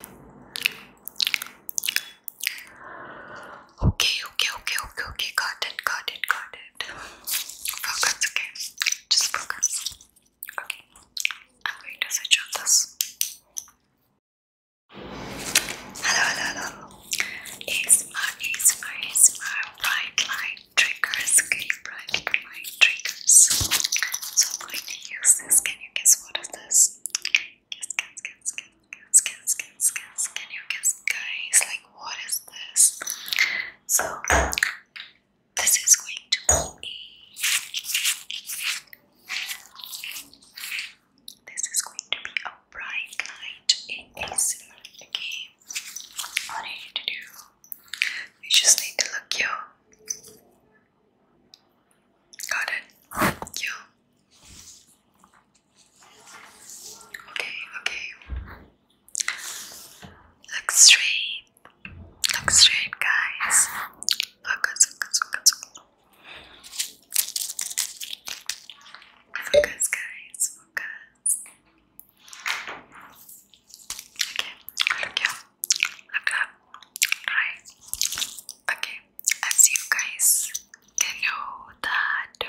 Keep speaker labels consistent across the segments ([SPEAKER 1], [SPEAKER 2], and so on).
[SPEAKER 1] Okay, okay, okay, okay, okay, got it, got it, got it. Focus, okay? Just focus. Okay, I'm going to switch on this. Hello, hello, hello. ASMR, ASMR, ASMR, bright light triggers, okay? Bright light triggers. So I'm going to use this. Can you guess what is this? Kiss, kiss, kiss, kiss, kiss, kiss, kiss. Can you kiss, guys? Like, what is this? So, this is going to be a. This is going to be a bright light in ASMR. Okay, what I need to do, you just need to look here. Got it. Okay, okay. Look straight. Look straight, guys. Focus, focus, focus, focus. guys. Focus. Okay, look here. Look up. Right. Okay as you guys can know that uh,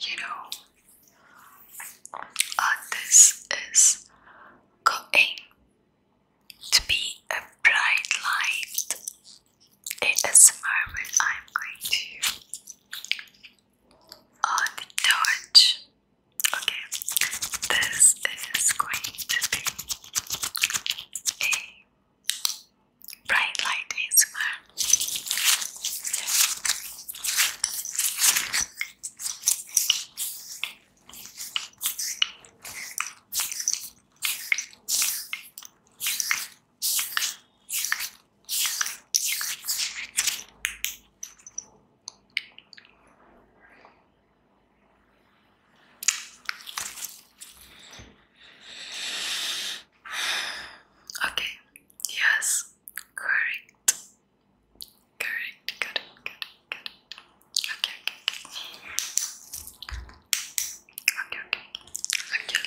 [SPEAKER 1] you know this is going to be a bright light a moment. I'm going to uh, touch okay this is going to be a bright light ASMR. Okay, yes, correct. Correct, got it, got it, Okay, okay, okay. Okay, okay. Okay,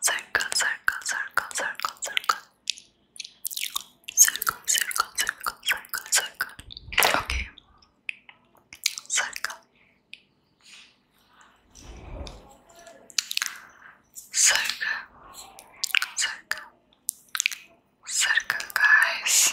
[SPEAKER 1] circle, circle, circle, circle, circle, circle, circle, circle, circle, circle. Okay, circle, circle, circle, circle, guys.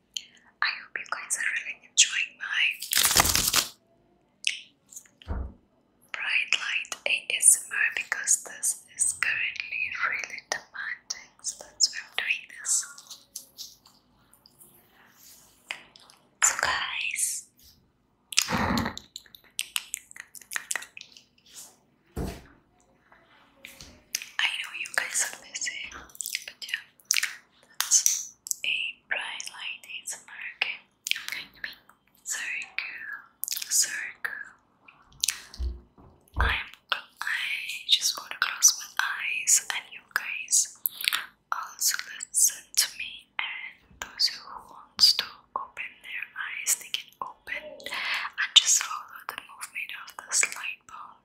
[SPEAKER 1] I hope you guys are really enjoying my bright light ASMR because this is currently really demanding, so that's why I'm doing this. So, guys, I know you guys are busy, but yeah, that's a bright light ASMR, okay? I'm going to make circle, circle. I'm, I just want to close my eyes, and you guys also listen to me. And those who wants to open their eyes, they can open and just follow the movement of this light bulb.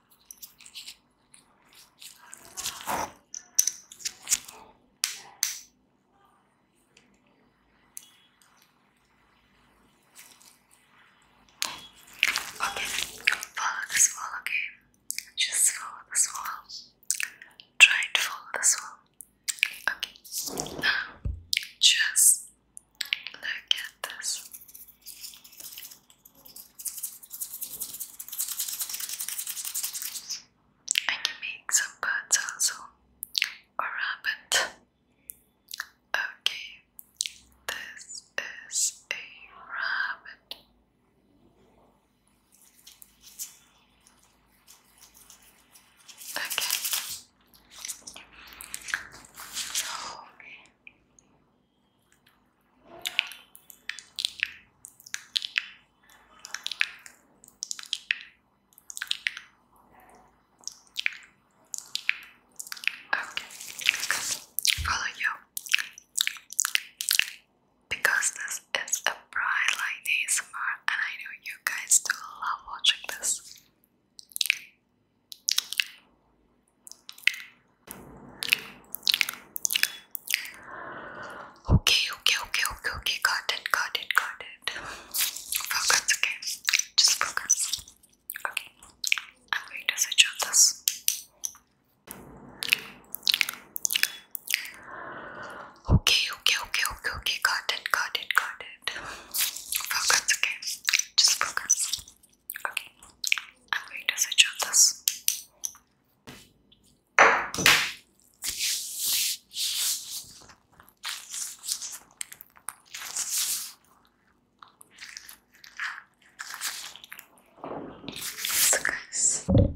[SPEAKER 1] Okay, follow the swallow, okay? Just follow the swallow. Try to follow the swallow. Okay, just Look at this. I can make some birds also. Or rabbit. Okay, this is a rabbit. Okay. So, Okay, follow you because this is a bright light ASMR and I know you guys do love watching this. Okay, okay, okay, okay, okay, got it, got it, got it. Focus, okay. Just focus. Okay. I'm going to switch on this. Okay, okay, okay, okay, okay, got it, got it, got it. Focus, okay. Just focus. Okay, I'm going to switch on this. guys. Oh,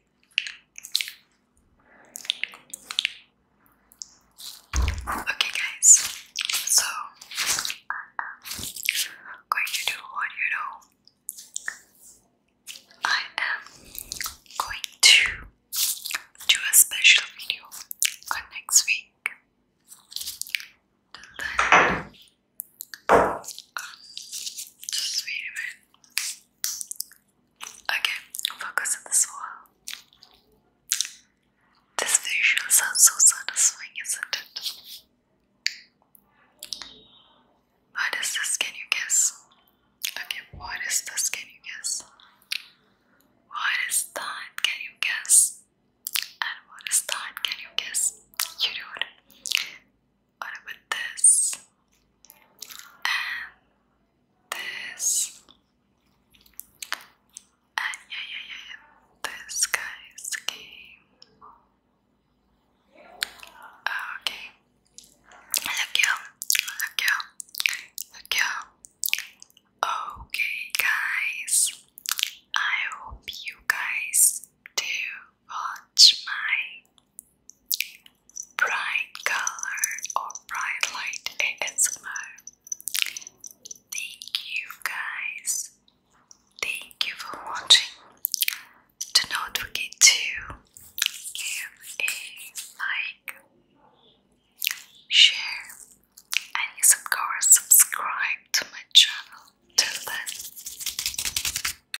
[SPEAKER 1] Okay, guys, so going to do what you know. I am going to do a special video on next week. Till then, just read a bit. Okay, focus on this wall. This visual sounds so satisfying, isn't it? What is this? Can you guess? Okay, what is this? Can you guess? What is that? Can you guess? And what is that? Can you guess? You do it. What about this? And this. And yeah, yeah, yeah, yeah. This guy's game. Okay. Look you. Look you. Look you. Okay, guys. I hope you guys do watch my bright color or bright light ASMR. Thank you guys. Thank you for watching. Do not forget to give a like, share, and yes, of course, subscribe to my channel. Till then.